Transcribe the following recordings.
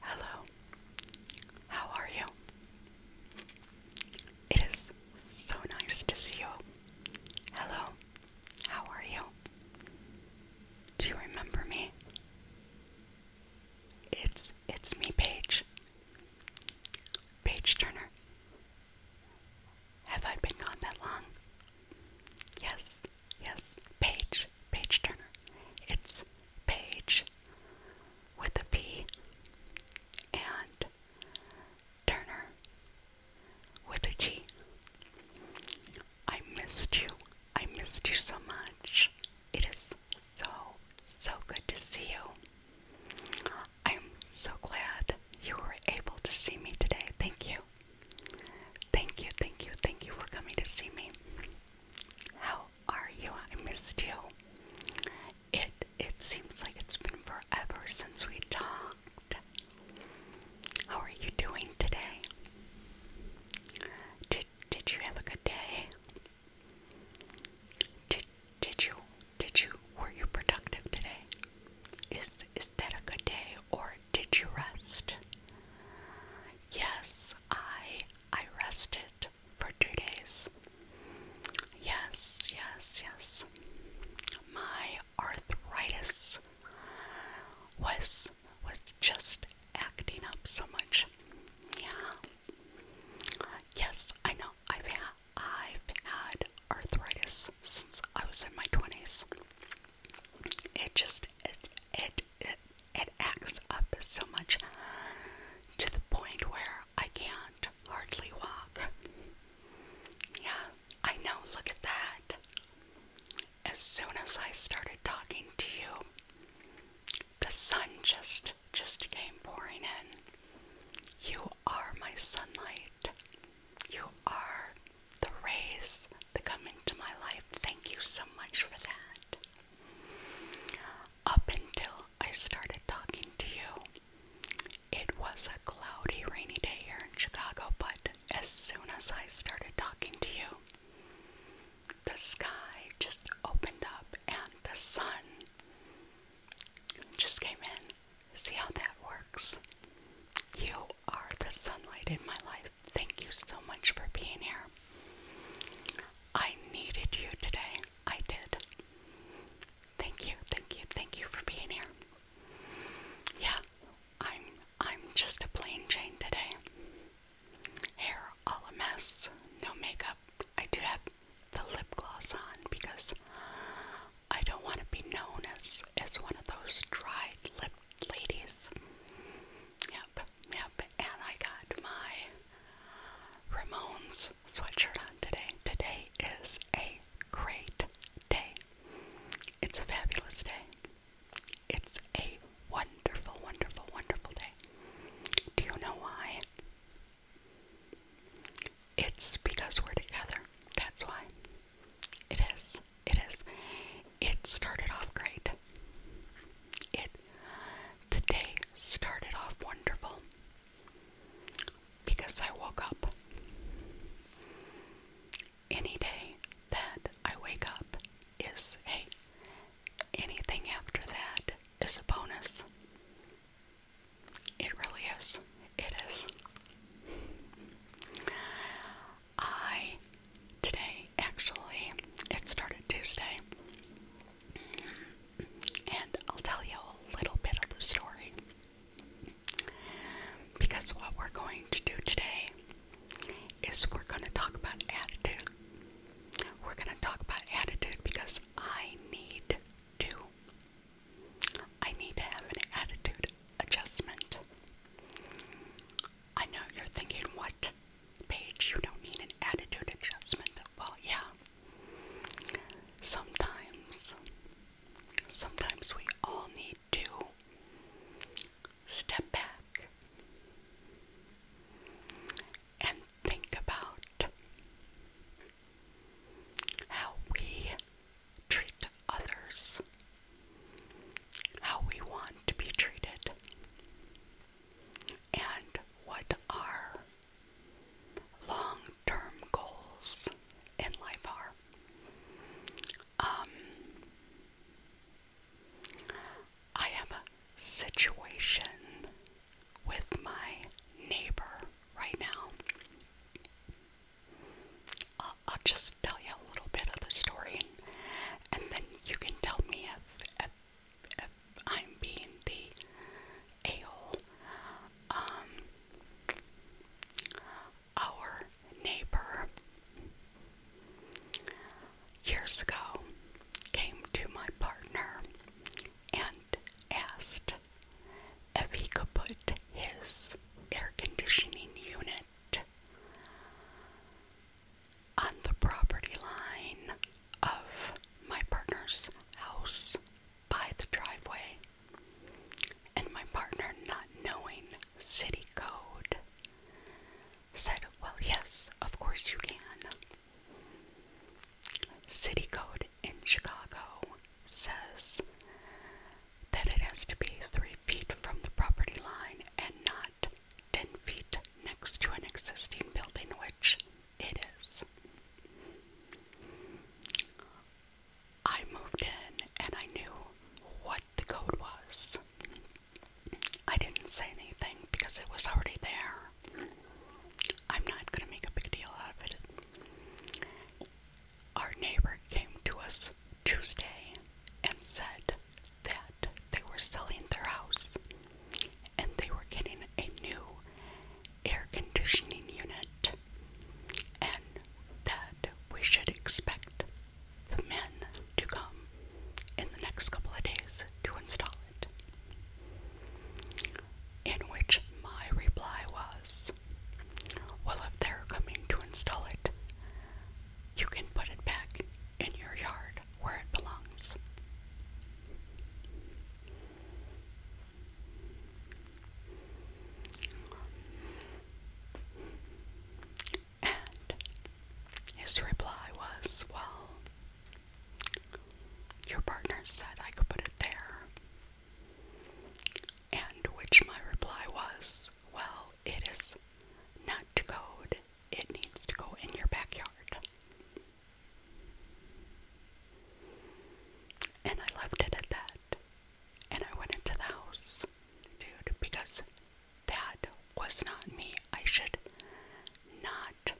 Hello, how are you? It is so nice to see you. Hello, how are you? Do you remember me? It's it's me, Paige. Paige Turner. Have I been gone that long? Yes, Yes, page, page turner. It's page with a P and turner with a T. I missed you. I missed you so much. It is so, so good to see you. I'm so glad you were able to see me today. Thank you. Thank you, thank you, thank you for coming to see me. How are you? I missed you. It it seems like it's been forever since we talked. How are you doing today? Did did you have a good day? Did did you did you were you productive today? Is is that a good day or did you rest? Yes, I I rested for 2 days. Yes, yes, yes. My arthritis was was just acting up so much. Yeah. Yes, I know. I've had I've had arthritis since I was in my 20s. It just it, it it acts up so much to the point where I can't hardly walk. Yeah, I know, look at that. As soon as I started talking to you, the sun just just came pouring in. You are my sunlight. You are the rays that come into my life. Thank you so much for that. Up until I started talking to you, it was a cloudy, rainy day here in Chicago, but as soon as I started talking to you, the sky just opened up and the sun just came in. See how that works? You are the sunlight in my life. Thank you so much for being here. I needed you today. I did. Thank you, thank you, thank you for being here. Yeah, I'm I'm just a plain Jane today. Hair all a mess, no makeup. I do have the lip gloss on because I don't want to be known as as one of those dried lip ladies. Yep, yep. And I got my Ramones sweatshirt on today. Today is a great day. It's a fabulous day. It's a wonderful, wonderful, wonderful day. Do you know why? It's because we're together. That's why. It is it is. It started off great. It the day started off wonderful because I woke up. Any day that I wake up is hey, anything after that is a bonus. It really is. It is. I today actually it started Tuesday, and I'll tell you a little bit of the story because what we're going to do today is we're going to talk about attitude. We're going to talk about attitude because I need to. I need to have an attitude adjustment. I know you're thinking, what? Paige, you don't need an attitude adjustment. Well, yeah. Sometimes, sometimes we all need to step back and think about how we treat others how we want to be treated and what our long term goals in life are. Um, I have a situation with my neighbor right now. I'll, just tell you a little bit of the story and, then you can tell me if I'm being the a um, our neighbor years ago came to my partner and asked if he could put his air conditioning unit on the property line of my partner's house by the driveway, and my partner, not knowing city code, said, Well, yes, of course you can. City code in Chicago says that it has to be three feet from the property line and not 10 feet next to an existing building, which it is. I moved in and I knew what the code was. I didn't say anything because it was already there. I'm not going to make a big deal out of it. Our neighbor came to us Tuesday and said, that they were selling their house and they were getting a new air conditioning unit, and that we should expect the men to come in the next couple of days to install it. In which my reply was, Well, if they're coming to install it, you can put it back in your yard where it belongs. And his reply was, Well, your partner said I could put it there. And which my reply was, Well, it is not to code it needs to go in your backyard. And I left it at that. And I went into the house, dude, because that was not me. I should not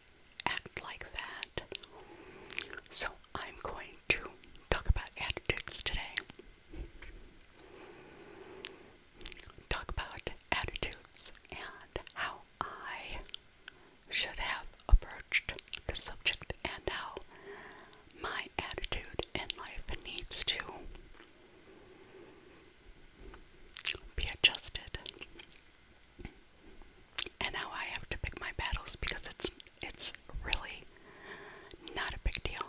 act like that. So I'm going to talk about attitudes today. Talk about attitudes and how I should have approached the subject and how my attitude in life needs to be adjusted and how I have to pick my battles because it's it's really not a big deal.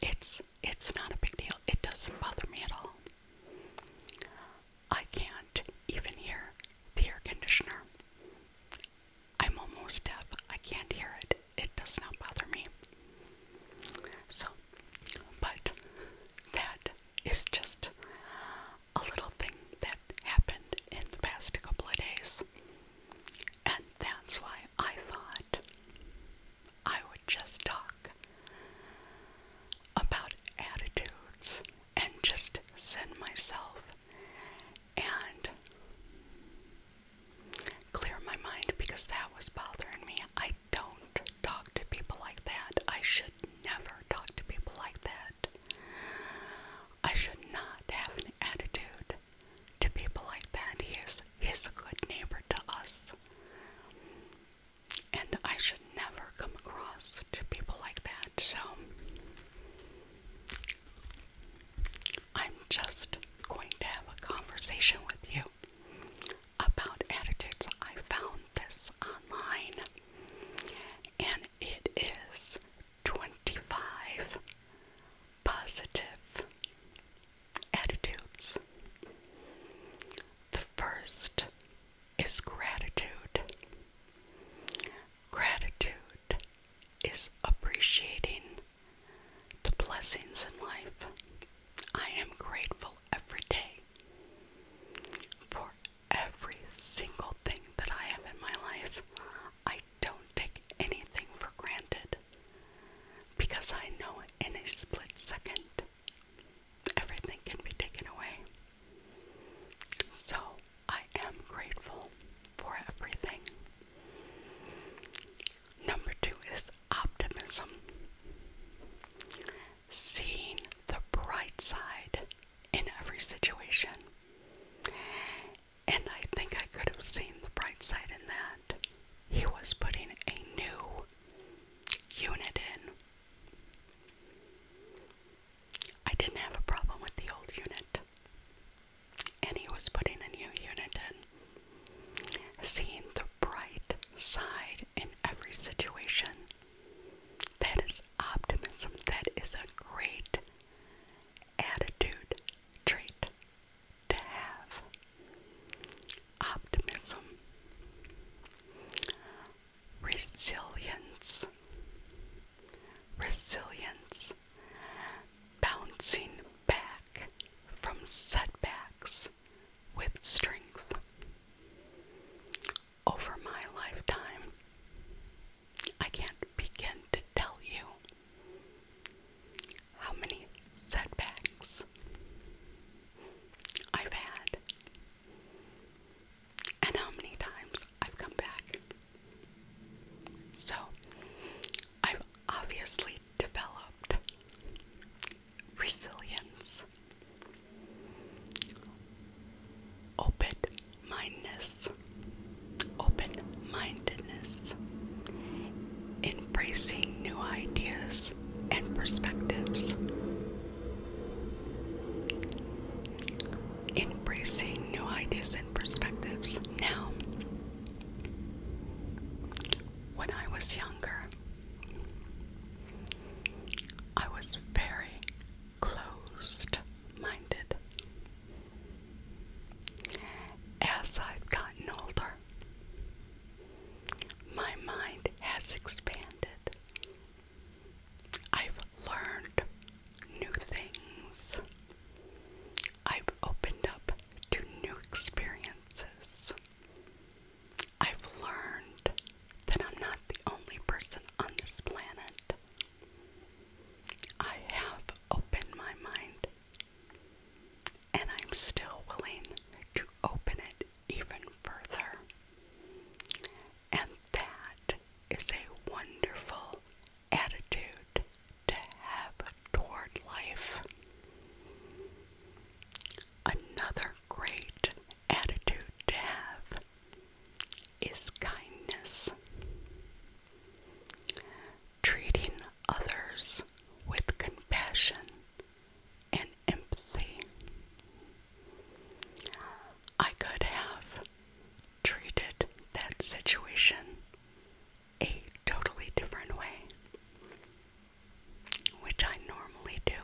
It's it's not a big deal. It doesn't bother me at all. I can't even hear the air conditioner. I'm almost deaf. I can't hear it. It does not bother me. So, but that is just a little thing that happened in the past couple of days. And that's why I thought I would just talk about attitudes and just send myself and clear my mind because that was bothering me. I don't talk to people like that. I should never talk to people like that. I should not have an attitude to people like that. He is he's a good neighbor to us and I should never come across people like that. So I'm just going to have a conversation with you about attitudes. I found this online and it is 25 positive attitudes. The first is gratitude. Gratitude is appreciating the blessings in life. I am grateful every day for every single thing that I have in my life. I don't take anything for granted because I know in a split second everything can be taken away. So I am grateful for everything. Number two is optimism. Seeing the bright side in every situation. And I think I could have seen the bright side in that. He was putting a new unit in. I didn't have a problem with the old unit, and he was putting a new unit in. Seeing the bright side in every situation, that is optimism, that is a great attitude trait to have optimism, resilience, resilience, bouncing back from setbacks with strength. Over my lifetime, I can't begin to tell you how many setbacks I've had, and how many times I've come back. So, I've obviously developed resilience, open mindedness, open mindedness, embracing new ideas and perspectives. Embracing new ideas and perspectives. Now, when I was younger, I was very closed minded. As I've gotten older, my mind has expanded. I've learned new things. I've opened up to new experiences. I've learned that I'm not the only person on this planet. I have opened my mind and I'm still willing to open it even further. And that is a wonderful attitude to have toward life. Another great attitude to have is kindness. Treating others with compassion and empathy. I could have treated that situation a totally different way, which I normally do.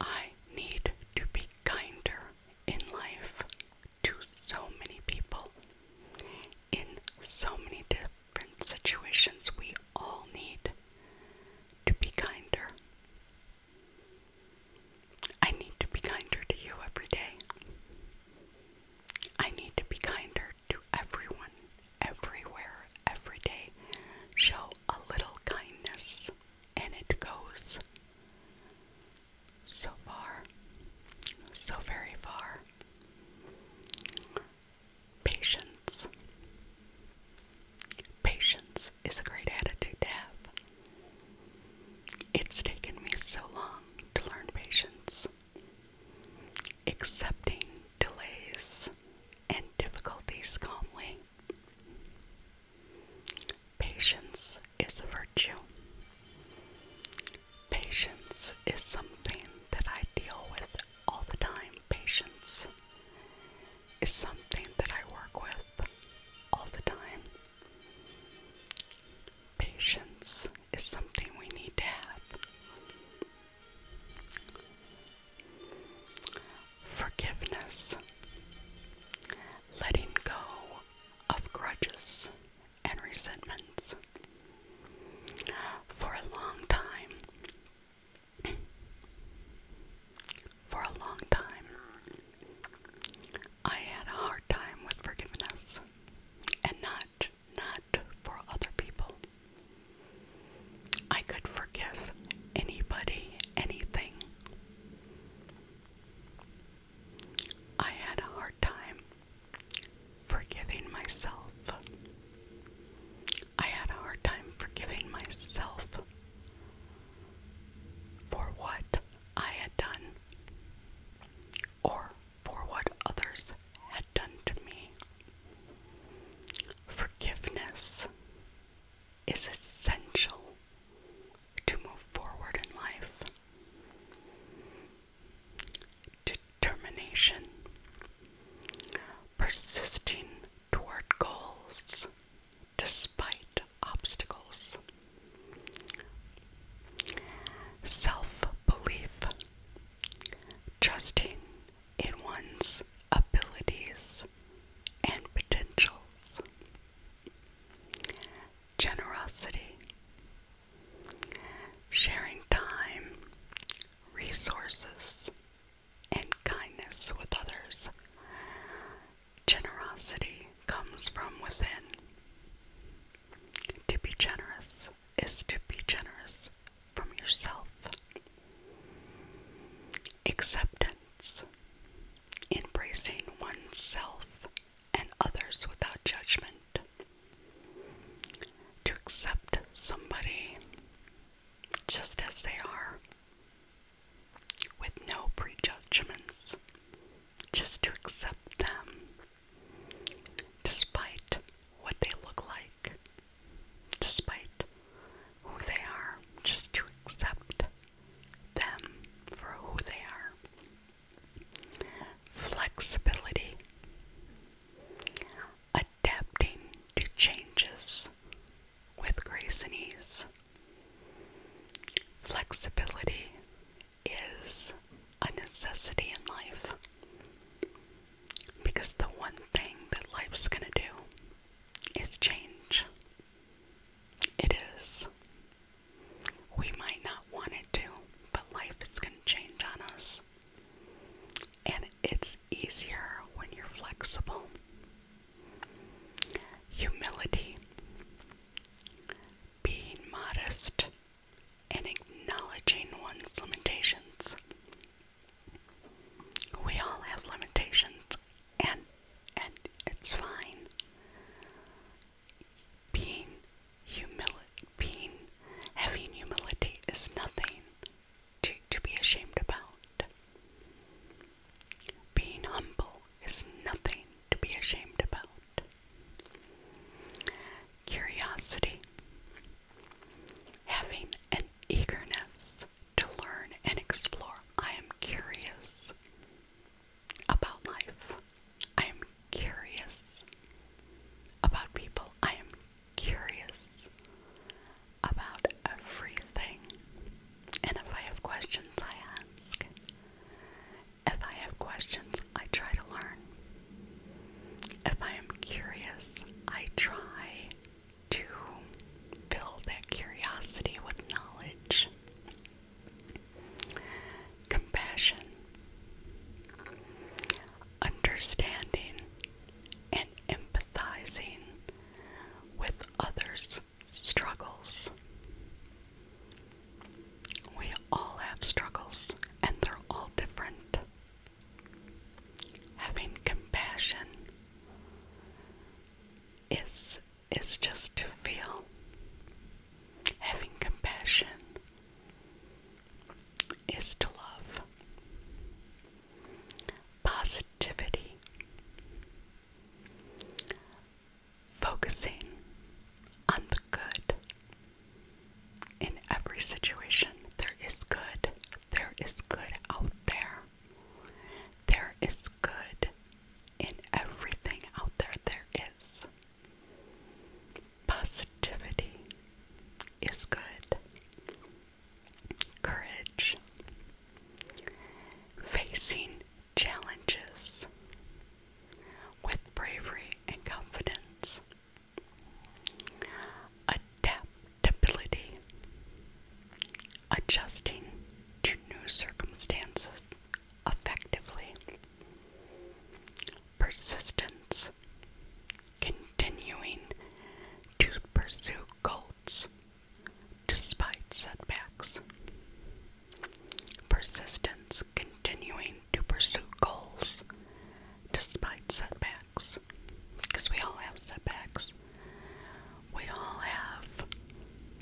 I need to be kinder in life to so many people in so many di different situations, we all need to be kinder. I need to be kinder to you every day. I need to be kinder to everyone, everywhere, every day. Show a little kindness, and it goes so far, so very far. Patience. Patience is a great attitude to have. It's taken me so long to learn patience. Accepting delays and difficulties calmly. Patience is a virtue. Patience is something that I deal with all the time. Patience is something that I work with all the time. Patience is something we need to have. Forgiveness, letting go of grudges and resentments. For a long time, for a long time, I had a hard time with forgiveness and not, not for other people. I could forgive anybody, anything. I had a hard time forgiving myself. I had a hard time forgiving myself for what I had done or for what others had done to me. Forgiveness is essential to move forward in life determination, persisting toward goals despite obstacles, self belief, trusting in one's abilities and potentials. Generosity, sharing time resources, and kindness with others. Generosity comes from within. To be generous is to be generous from yourself. Acceptance, embracing oneself and others without judgment to accept somebody just as they are, with no prejudgments, just to accept them despite what they look like, despite who they are, just to accept them for who they are. Flexibility. A adapting to changes with grace and ease. Flexibility is a necessity in life because the one thing that life's going to do is change. It is. We might not want it to, but life is going to change on us and it's easier when you're flexible. Humility, being modest, and acknowledging one's limitations. We all have limitations, and and it's fine. Being humil being having humility is nothing to, to be ashamed about. Being humble is nothing to be ashamed about. Curiosity. Having an eagerness to learn and explore. I am curious about life. I am curious about people. I am curious about everything. And if I have questions, I ask. If I have questions, I try to learn. If I am curious, I try to fill that curiosity with knowledge. Compassion. Understanding and empathizing with others' struggles. We all have struggles, and they're all different. Having compassion is is just to feel. Having compassion is to love. Positivity. Focusing on the good. In every situation, there is good. There is good out there. There is good in everything out there. There is. Positivity is good. Courage. Facing challenges with bravery and confidence. Adaptability. Adjusting to new circumstances effectively persistence, continuing to pursue goals despite setbacks. Persistence, continuing to pursue goals despite setbacks. Because we all have setbacks. We all have,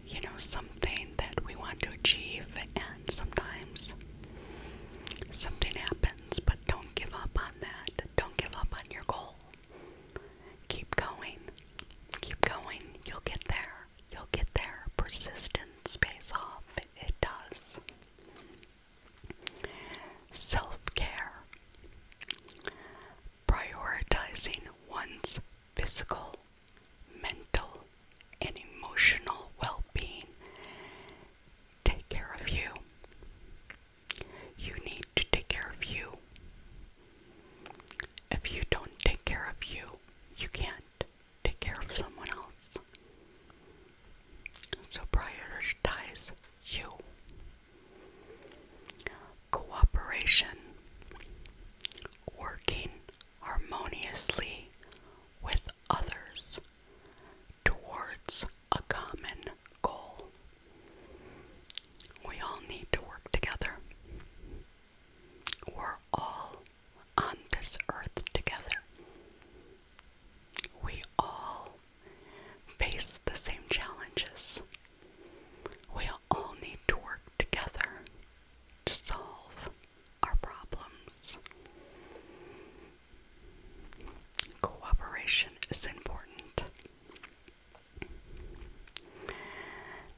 you know, something that we want to achieve, and sometimes something happens, but don't give up on that. Don't give up on your goal. Keep going. Keep going. You'll get there. You'll get there. Persistence pays off. it does. Self care. Prioritizing one's physical, mental, and emotional well being take care of you. You need to take care of you. If you don't take care of you, you can't take care of someone else. So prioritize you. Cooperation. Working harmoniously with others towards a common goal. We all need to work together. We're all on this earth together. We all face the same challenges. We all need to work together to solve our problems. Cooperation is important.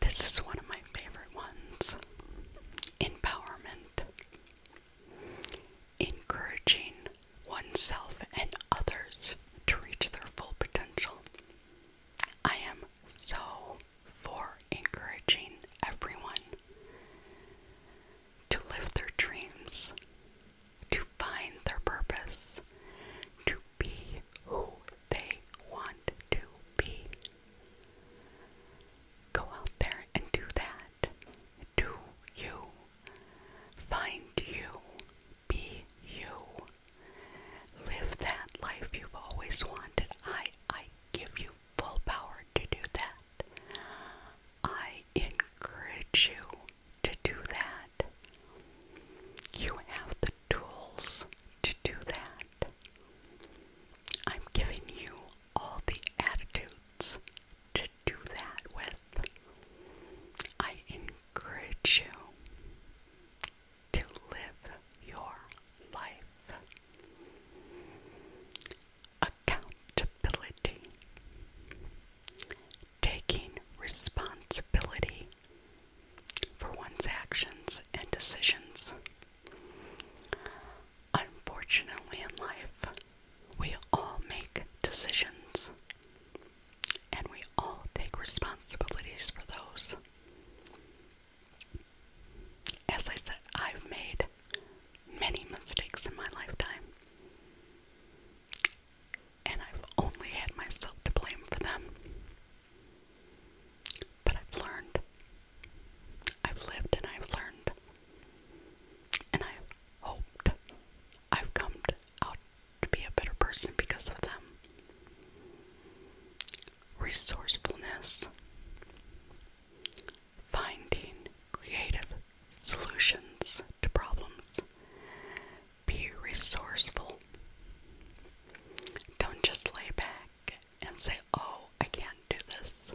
This is one of my favorite ones. Empowerment. Encouraging oneself and others to reach their full potential. I am so for encouraging everyone to live their dreams to find their purpose, to be who they want to be. Go out there and do that. Do you. Find you. Be you. Live that life you've always wanted. I I give you full power to do that. I encourage you to do that. You have the tools to do that. I'm giving you all the attitudes to do that with. I encourage you to live your life accountability, taking responsibility for one's actions and decisions. Unfortunately, in life, we all make decisions and we all take responsibilities for those. As I said, I've made many mistakes in my lifetime, and I've only had myself to blame for them. But I've learned. I've lived and I've learned. And I've hoped I've come to, out to be a better person because of them. Resourcefulness finding creative solutions to problems. Be resourceful. Don't just lay back and say, oh, I can't do this.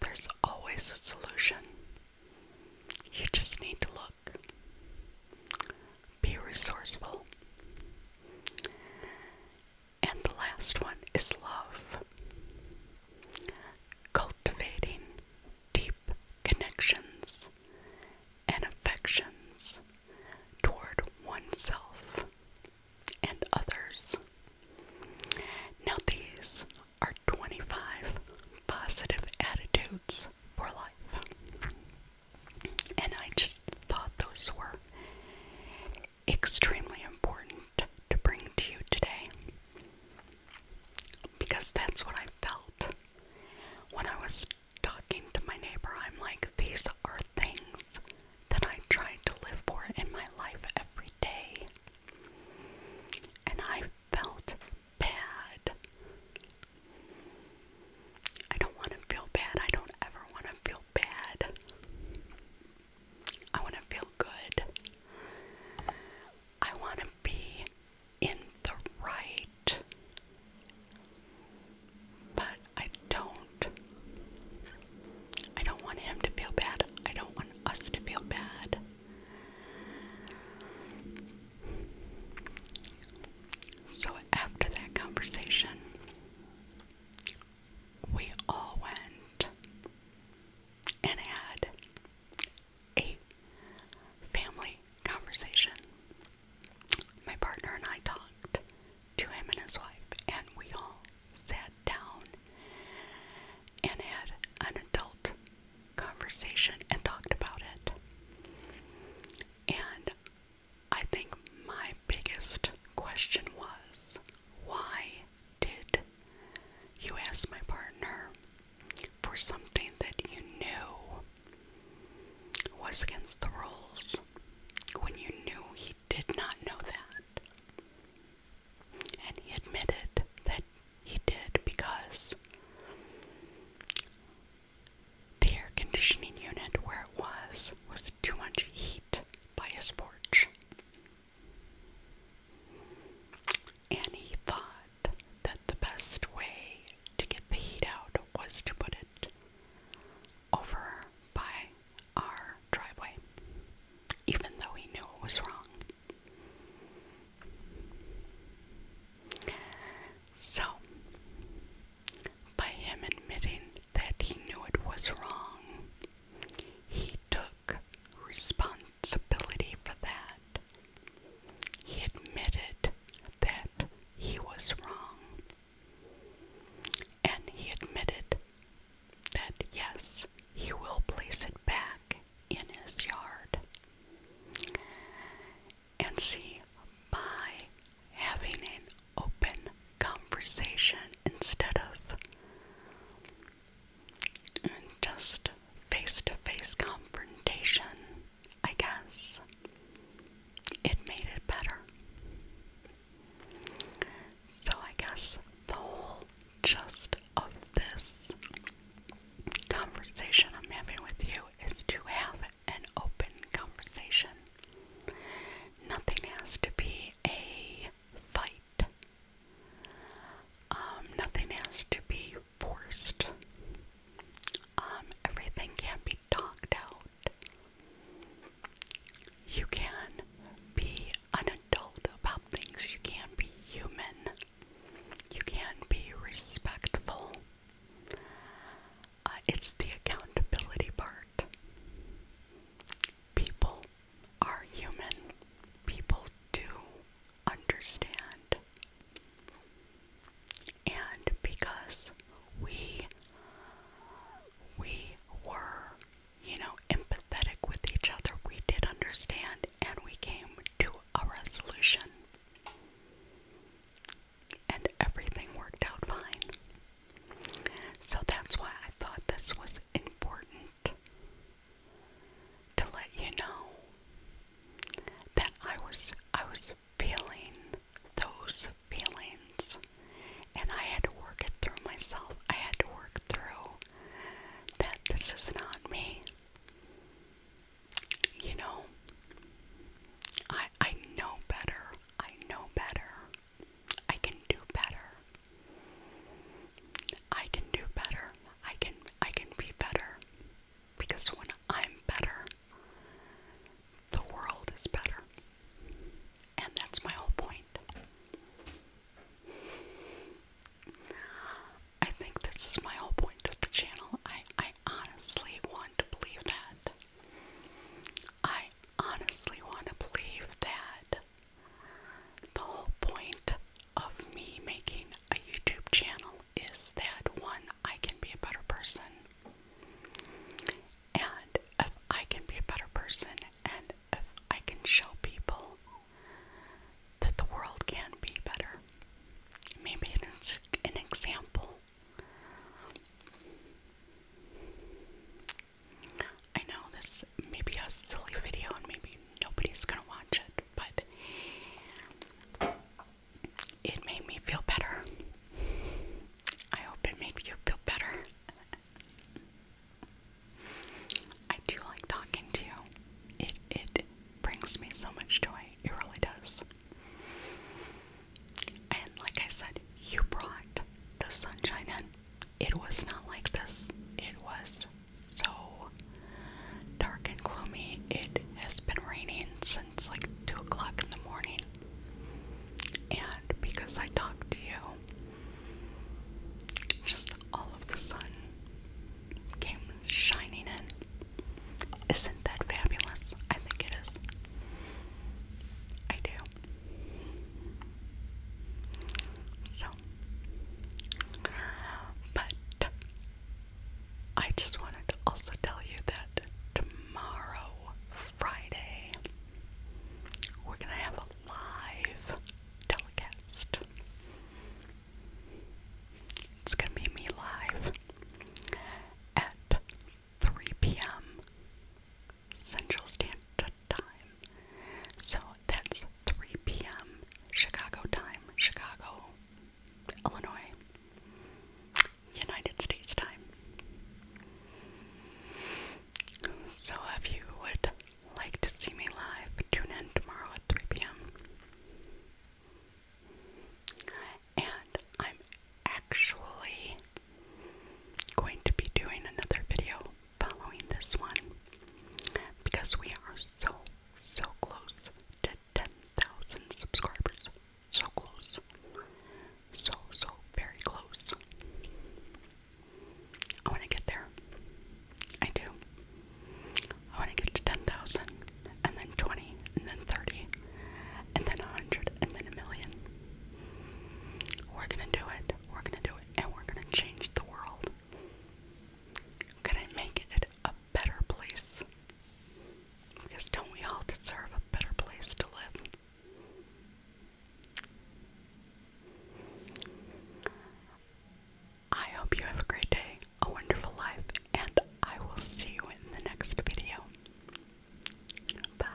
There's always a solution. You just need to look. Be resourceful. And the last one is love cultivating deep connections and affections toward oneself and others. Now, these are 25 positive attitudes for life. And I just thought those were extremely important to bring to you today. Because that's what I felt when I was talking to my neighbor. I'm like, these are things that I try to live for in my life every day. And I felt bad. I don't want to feel bad. I don't ever want to feel bad. I want to feel good. I want to be in the right. But I don't. I don't want him to feel bad. I don't want us to feel bad. So after that conversation, we all went and I had a family conversation. My partner and I talked to him and his wife, and we all sat down and had an adult conversation and talked about it. And I think my biggest question was why did you ask my partner for something that you knew was against the rules when you knew he did not know that? And he admitted that he did because the air conditioning unit where it was was too much heat by his porch. And he thought that the best way to get the heat out was to put it over by our driveway, even though he knew it was wrong. So, by him admitting that he knew it was wrong, he took responsibility. Ability for that. He admitted that he was wrong. And he admitted that yes, he will place it back in his yard. And see, by having an open conversation instead of just face to face confrontation, I guess. It made it better. So I guess the whole just of this conversation I'm having with you is to have an open conversation. Nothing has to be a fight um, nothing has to be forced. Um, everything can be talked out. You can be an adult about things. You can be human. You can be respectful. Uh, it's the accountability part. People are human. People do understand. And because we we were, you know, empathetic with each other, we did understand and we came to a resolution. And everything worked out fine. So that's why I thought this was important to let you know that I was I was feeling those feelings and I had to work it through myself. I had to work through that this is not me. You know, I I know better. I know better. I can do better. I can do better. I can I can be better because when I'm better, the world is better. And that's my whole point. I think this is my whole point of the channel. I I honestly want to believe that. I honestly want to believe that the whole point of me making a YouTube channel is that one, I can be a better person. And if I can be a better person, and if I can show people that the world can be better, maybe it's an example. I know this may be a silly video and maybe nobody's gonna watch it, but it made me feel better. I hope it made you feel better. I do like talking to you. It it brings me so much joy. It really does. And like I said, you brought the sunshine in. It was not like this. It was so dark and gloomy. It has been raining since like 2 o'clock in the morning. And because I talked to you, just all of the sun came shining in. Isn't that fabulous? I think it is. I do. So, but I just wanted to also tell you that tomorrow, Friday, we're going to have a live telecast. It's going to be me live at 3 p.m. Central Standard time. So that's 3 p.m. Chicago time, Chicago, Illinois, United States time. So if you would like to see me live, tune in tomorrow at 3 p.m. And I'm actually going to be doing another video following this one because we are so, so close to 10,000 subscribers. So close. So, so very close. I want to get there. I do. I want to get to 10,000, and then 20, and then 30, and then 100, and then a million. We're gonna do it. We're gonna do it, and we're gonna change the world. Can I make it a better place? Because don't we all deserve a better place to live? I hope you have a great day, a wonderful life, and I will see you in the next video. Bye.